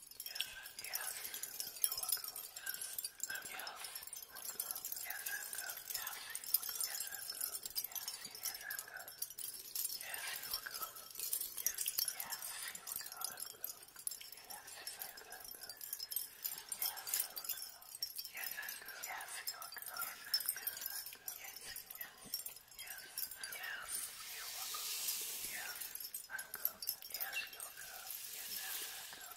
Yes. Yes. You are good. Yes. I'm good. Yes. I'm good. Yes, I'm good. Yes. Yes, I'm good. Yes. Yes, I'm good. Yes, you are good. Yes. Yes, you are good. I'm good. Yes, I'm good. I'm good. Yes, I'm good. Yes, I'm good. Yes, you are good. Yes, I'm good. Yes. Yes. Yes. Yes. You are good. Yes. I'm good. Yes, you are good. Yes, I'm good.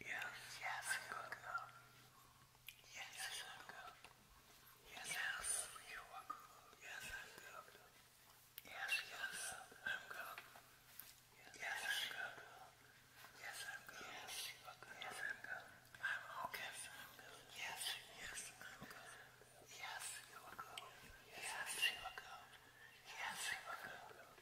Yes. Yes, I'm good. Yes, yes, I'm good. Yes, yes, you are good. Yes, I'm good. Yes, yes, I'm good. Yes, I'm good. Yes, I'm good. Yes, you are good. Yes, I'm good. I'm okay. Yes, I'm good. Yes, yes, I'm good. Yes, you are good. Yes, you are good. Yes, you are good.